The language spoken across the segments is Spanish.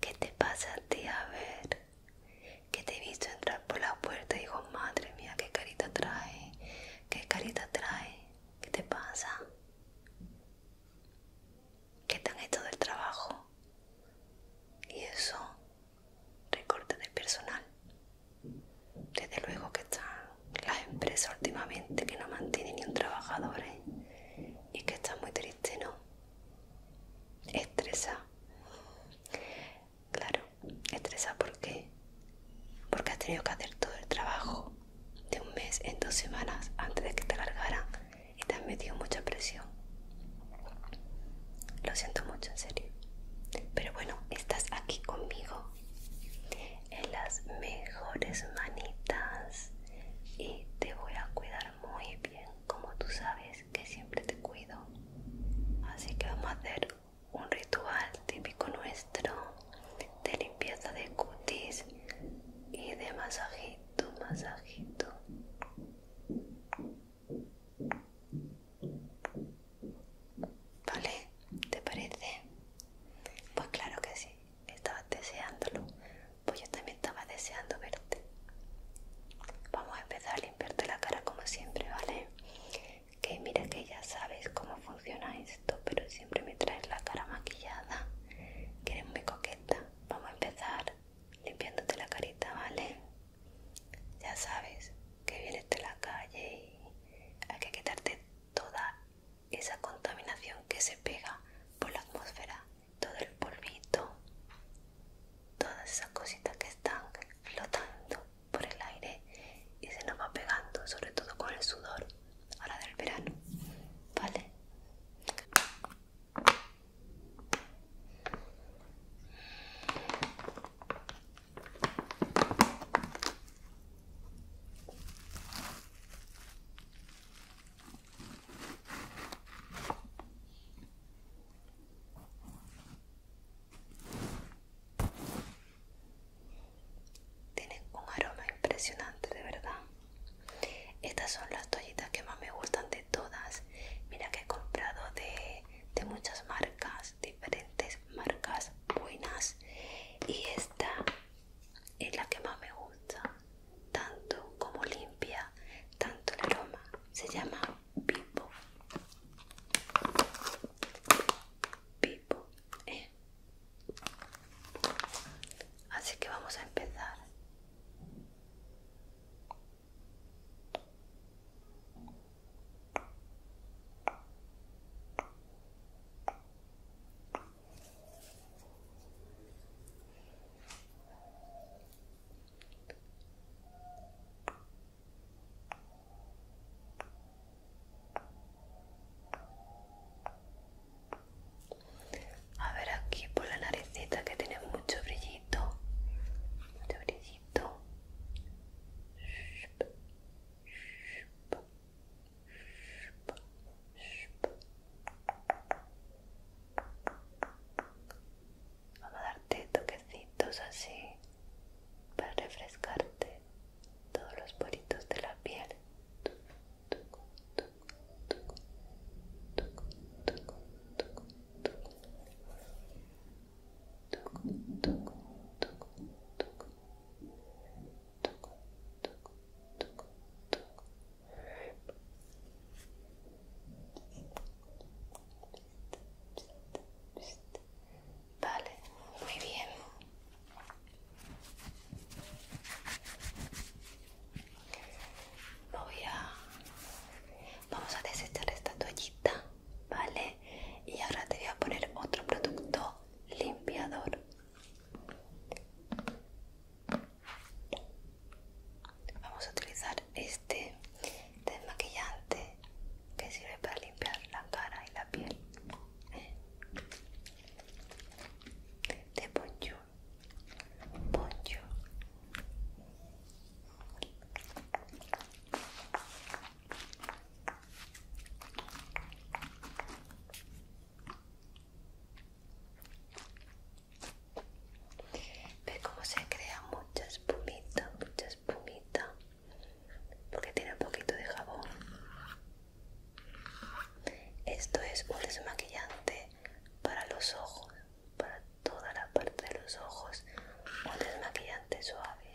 ¿Qué te pasa a ti? A ver, que te he visto entrar por la puerta y digo, madre mía, qué carita trae, qué carita trae, ¿qué te pasa? ¿Qué te han hecho del trabajo? Y eso, recorte de personal. Desde luego que están las empresas últimamente que no mantienen ni un trabajador ¿eh? y que está muy triste, ¿no? Estresa. Claro, estresa porque porque has tenido que hacer todo el trabajo de un mes en dos semanas antes de que te largaran y te has metido mucha presión. Lo siento mucho, en serio. Pero bueno, estás aquí conmigo en las mejores manitas y te voy a cuidar muy bien como tú sabes que siempre te cuido así que vamos a hacer un ritual típico nuestro de limpieza de cutis y de masajito masajito ¿Vale? ¿Te parece? Pues claro que sí, estaba deseándolo. Pues yo también estaba deseando verte. Vamos a empezar a limpiarte la cara como siempre, ¿vale? Que mira que ya sabes cómo funciona esto, pero siempre me traes la cara maquillada, que eres muy coqueta. Vamos a empezar limpiándote la carita, ¿vale? Ya sabes que vienes de la calle y hay que quitarte toda esa contaminación que se pega por la atmósfera, todo el polvito, todas esas cositas que están flotando por el aire y se nos va pegando, sobre todo con el sudor ahora del verano, ¿vale? Tienen un aroma impresionante, de verdad. Estas son las toallitas que más me gustan de todas. Mira que he comprado de, de muchas marcas, diferentes marcas buenas y esta es la que más me gusta tanto como limpia tanto el aroma se llama pipo pipo ¿eh? así que vamos a empezar a ver aquí por la naricita que tiene mucho brillito, mucho brillito. Vamos a darte toquecitos así para refrescarte todos los poritos de la piel. Vale, muy bien. Voy a... Vamos a desechar esta toallita ¿vale? Y ahora te voy a poner otro producto limpiador. Vamos a utilizar este desmaquillante que sirve para limpiar la cara y la piel de poncho, poncho. Ve cómo se crea mucha espumita, mucha espumita, porque tiene un poquito de jabón. Esto es un desmaquillante para los ojos, para toda la parte de los ojos, un desmaquillante suave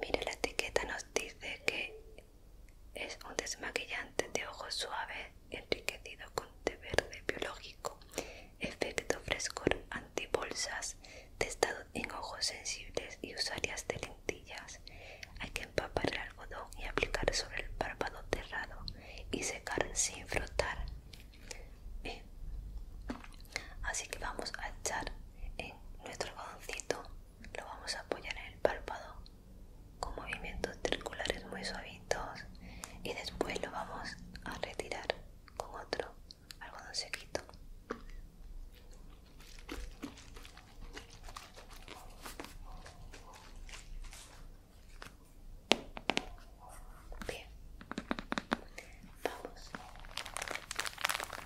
Mire, la etiqueta nos dice que es un desmaquillante de ojos suave enriquecido con té verde biológico, efecto frescor antibolsas, testado en ojos sensibles y usarias de lentillas. Hay que empapar el algodón y aplicar sobre el párpado cerrado y secar sin frotar. Así que vamos a echar en eh, nuestro algodoncito lo vamos a apoyar en el párpado con movimientos circulares muy suavitos y después lo vamos a retirar con otro algodón Bien, vamos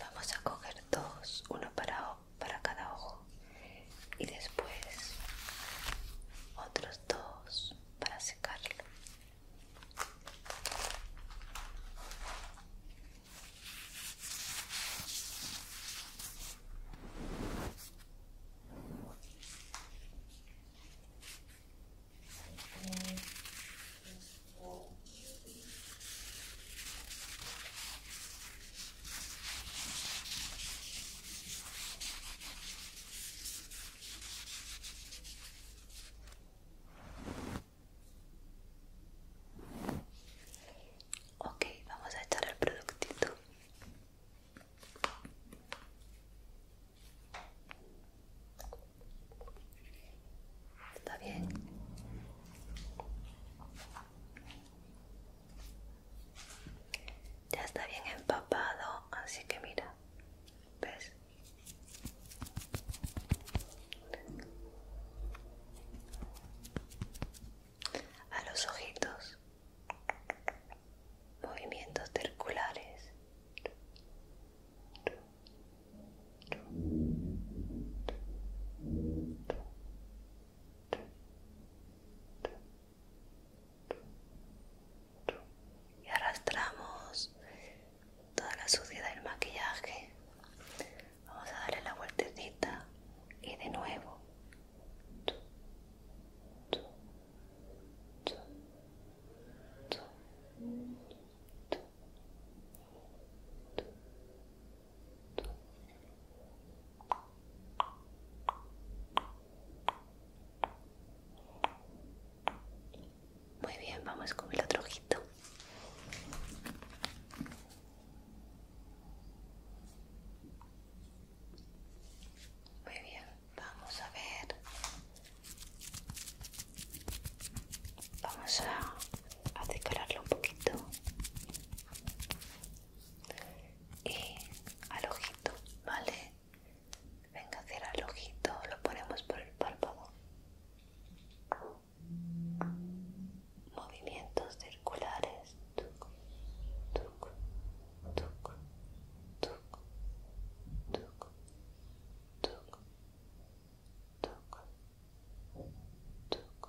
Vamos a coger dos, uno para para cada ojo y después otros dos para secarlo Ok, vamos a echar el productito. Está bien. Ya está bien empapado, así que mira, ¿ves? A los ojitos, movimientos circulares y arrastramos toda la suciedad del maquillaje vamos a darle la vueltecita y de nuevo muy bien, vamos con el otro ojito. Muy bien, vamos a ver. Vamos a, a decorarlo un poquito y al ojito, ¿vale? Venga, hacer el ojito, lo ponemos por el párpado. Movimientos circulares. Tuc, tuc, tuc, tuc, tuc, tuc, tuc, tuc,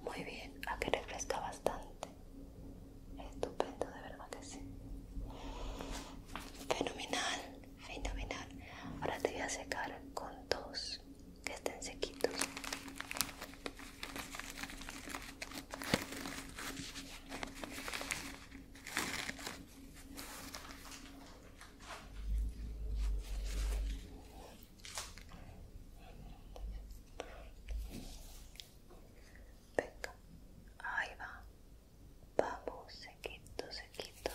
Muy bien, a que refresca bastante. Estupendo, de verdad que sí. Fenomenal, fenomenal. Ahora te voy a secar con dos que estén sequitos. Venga, ahí va. Vamos, sequito, sequito.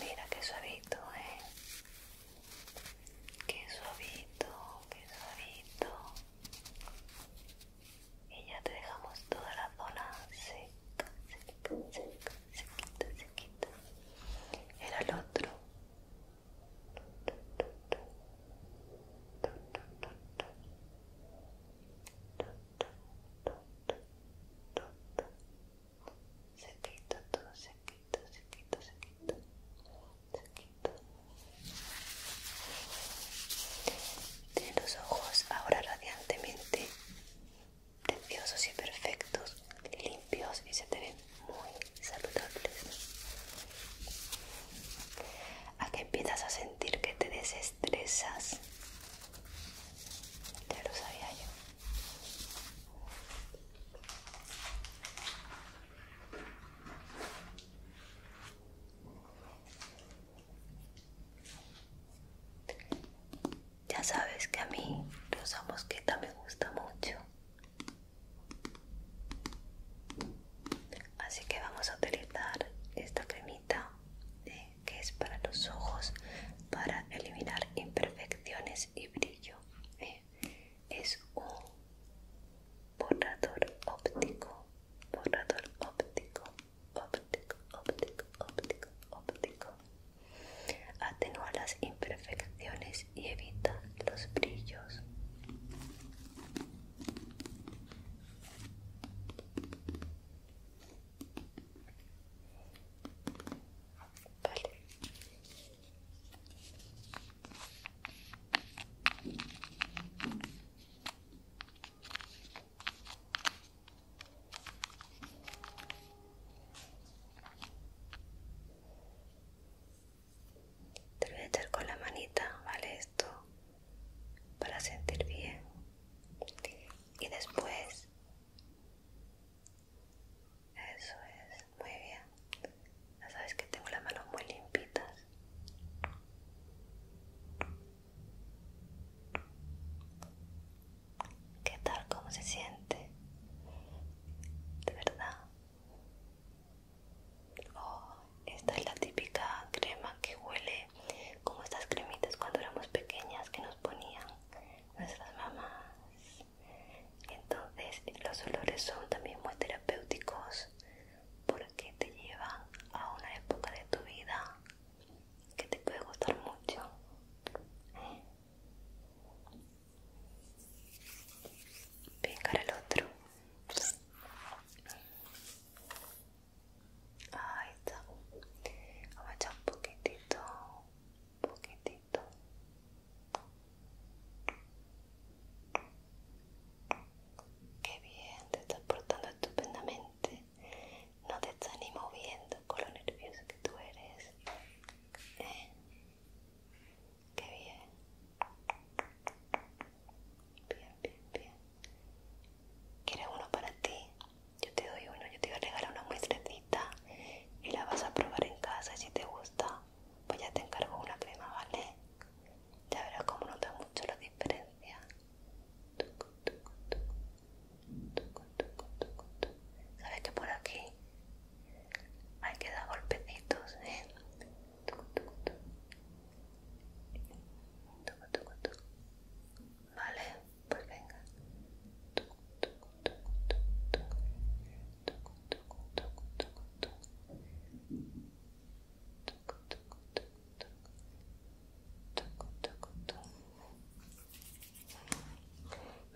Mira qué suavito, eh. Qué suavito, qué suavito y ya te dejamos toda la zona seca, seca, seca, sequita, sequita. Era el otro. Seca, todo sequito, sequito, sequito, tiene los ojos ahora radiantemente preciosos y perfectos, limpios y se te ven muy saludables. ¿A qué empiezas a sentir que te desestresas? Ya lo sabía yo. Ya sabes que a mí los mosquita me gusta mucho. Así que vamos a utilizar esta cremita eh, que es para los ojos, para eliminar imperfecciones y brillo. Eh, es un borrador óptico, borrador óptico óptico, óptico, óptico, óptico. Atenúa las imperfecciones y evita los brillos. Te voy a echar con la manita, ¿vale? Esto para sentir bien. Y después... Eso es, muy bien. Ya sabes que tengo las manos muy limpitas. ¿Qué tal? ¿Cómo se siente? ¿De verdad? Oh, esta es la típica crema que huele como estas cremitas cuando éramos pequeñas que nos ponían nuestras mamás. Entonces los olores son también muy terapéuticos porque te lleva a una época de tu vida que te puede gustar mucho. Ven el otro. Ahí está. Vamos a echar un poquitito, un poquitito. Qué bien, te estás portando estupendamente no te está ni moviendo con lo nervioso que tú eres ¿Eh? qué bien bien bien bien quieres uno para ti yo te doy uno yo te voy a regalar una muestrecita y la vas a probar en casa si te gusta pues ya te encargo una crema vale ya verás cómo nota mucho la diferencia. Sabes que por aquí hay que dar golpecitos, Vale, pues venga.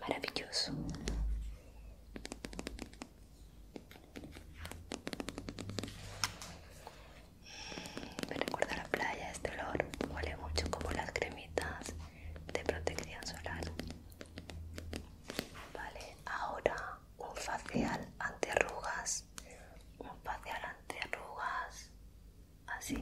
Maravilloso. Mm, me recuerda a la playa este olor. Huele mucho como las cremitas de protección solar. Vale, ahora un facial antiarrugas, Un facial te arrugas así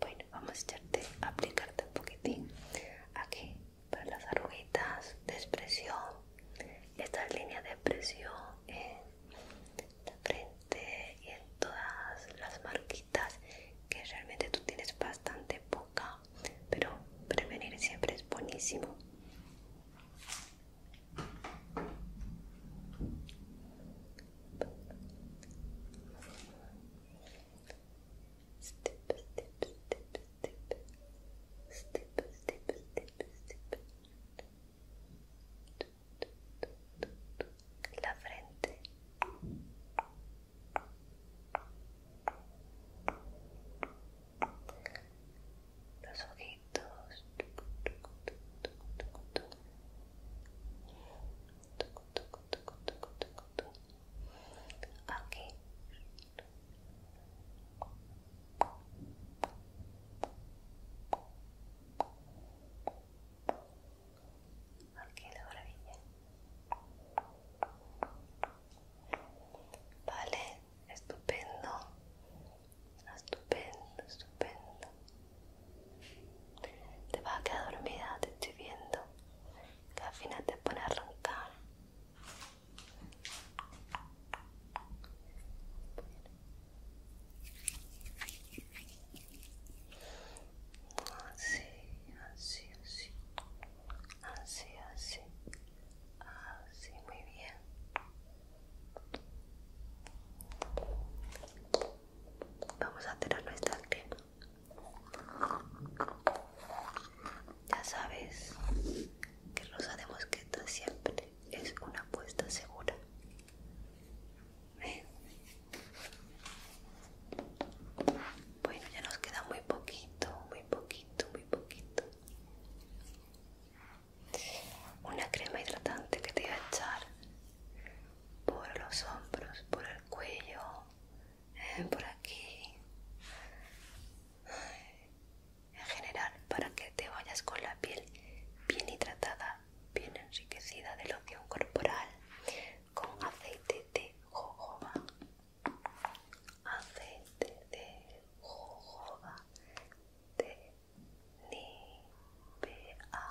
Bueno, vamos a echarte, a aplicarte un poquitín aquí para las arruguitas de expresión, estas líneas de expresión en la frente y en todas las marquitas que realmente tú tienes bastante poca pero prevenir siempre es buenísimo. La frente los ojitos aquí aquí la maravilla vale Estupendo, estupendo, estupendo. Te vas a quedar dormida, te estoy viendo. Que al final te pone a arrancar. Ah, así, así, así así, así, así, muy bien. Vamos a tirar nuestra crema. Ya sabes que Rosa de Mosqueta siempre es una apuesta segura. Bueno, ya nos queda muy poquito, muy poquito, muy poquito una crema hidratante que te va a echar por los hombros, por el cuello, eh, por aquí, en general para que te vayas con la piel bien hidratada, bien enriquecida de loción corporal con aceite de jojoba aceite de jojoba de nivea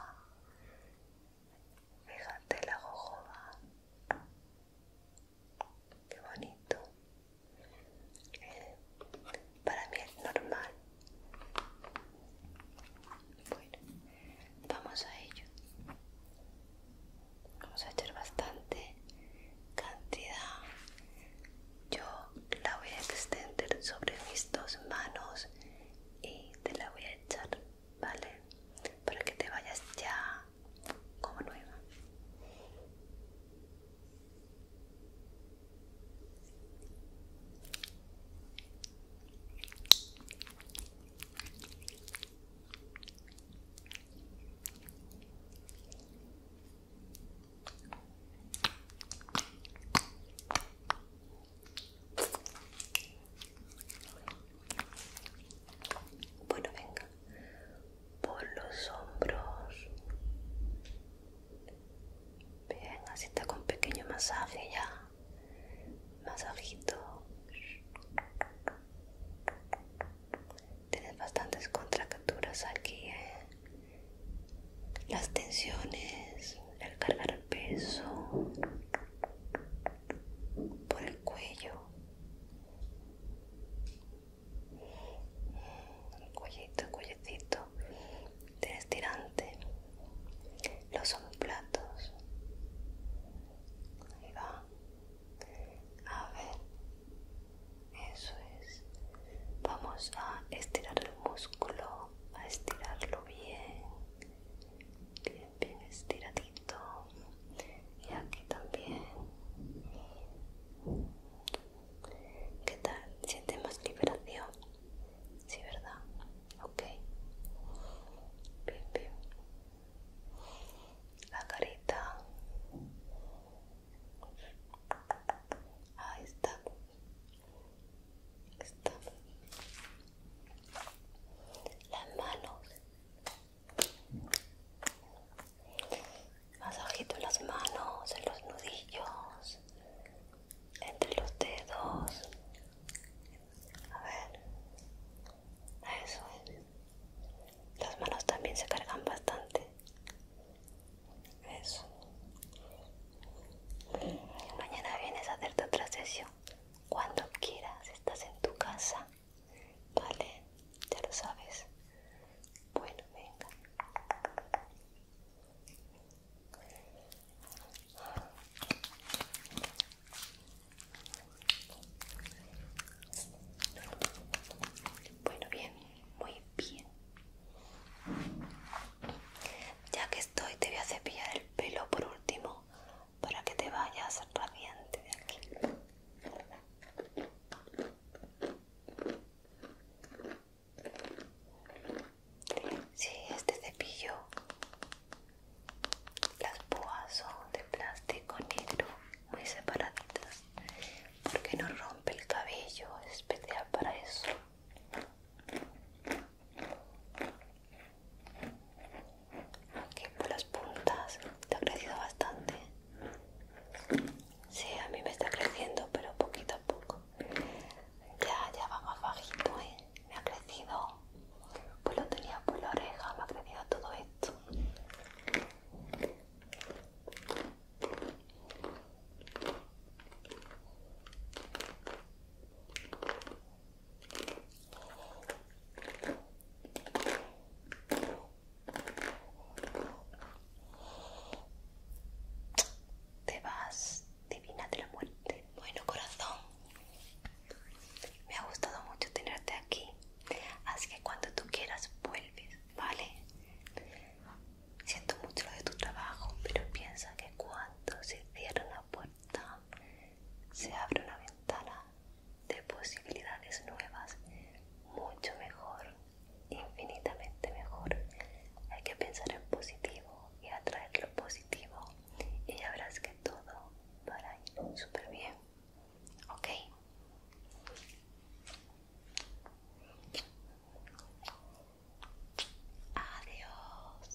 fíjate la jojoba qué bonito para mí es normal bueno vamos a ello Vamos a echar bastante cantidad. Yo la voy a extender sobre mis dos manos y te la voy a echar, ¿vale? Para que te vayas ya como nueva. Bueno, venga, por los hombros. Bien, así está con pequeño masaje ya. Masajito tienes bastantes contracturas aquí, ¿eh? las tensiones, el cargar peso por el cuello, cuellito, cuellecito, tienes tirante, los platos ahí va. A ver, eso es. Vamos a estirar el músculo, a estirarlo bien, bien, bien estiradito. Y aquí también. ¿Qué tal? ¿Siente más liberación? Sí, ¿verdad? Ok. Bien, bien la carita ahí está está las manos masajito en las manos en los nudillos entre los dedos a ver eso es las manos también se cargan bastante eso mañana vienes a hacerte otra sesión cuando quieras estás en tu casa vale ya lo sabes bueno venga bueno, bien, muy bien. Ya que estoy, te voy a cepillar el pelo por último para que te vayas radiante de aquí. Sí, este cepillo, las púas son de plástico negro muy separaditas porque no rompe el cabello es especial para eso aquí por las puntas te ha crecido bastante Sí, a mí me está creciendo, pero poquito a poco. Ya, ya va más bajito, ¿eh? Me ha crecido. Pues lo tenía por la oreja, me ha crecido todo esto. Te vas divina de la muerte. Bueno, corazón. Me ha gustado mucho tenerte aquí. Así que cuando tú quieras vuelves, ¿vale? Siento mucho lo de tu trabajo, pero piensa que cuando se cierra una puerta, se abre una ventana de posibilidades nuevas, mucho mejor, infinitamente mejor. Hay que pensar en positivo y atraer lo positivo y ya verás que todo va a ir súper bien. ¿Ok? Adiós.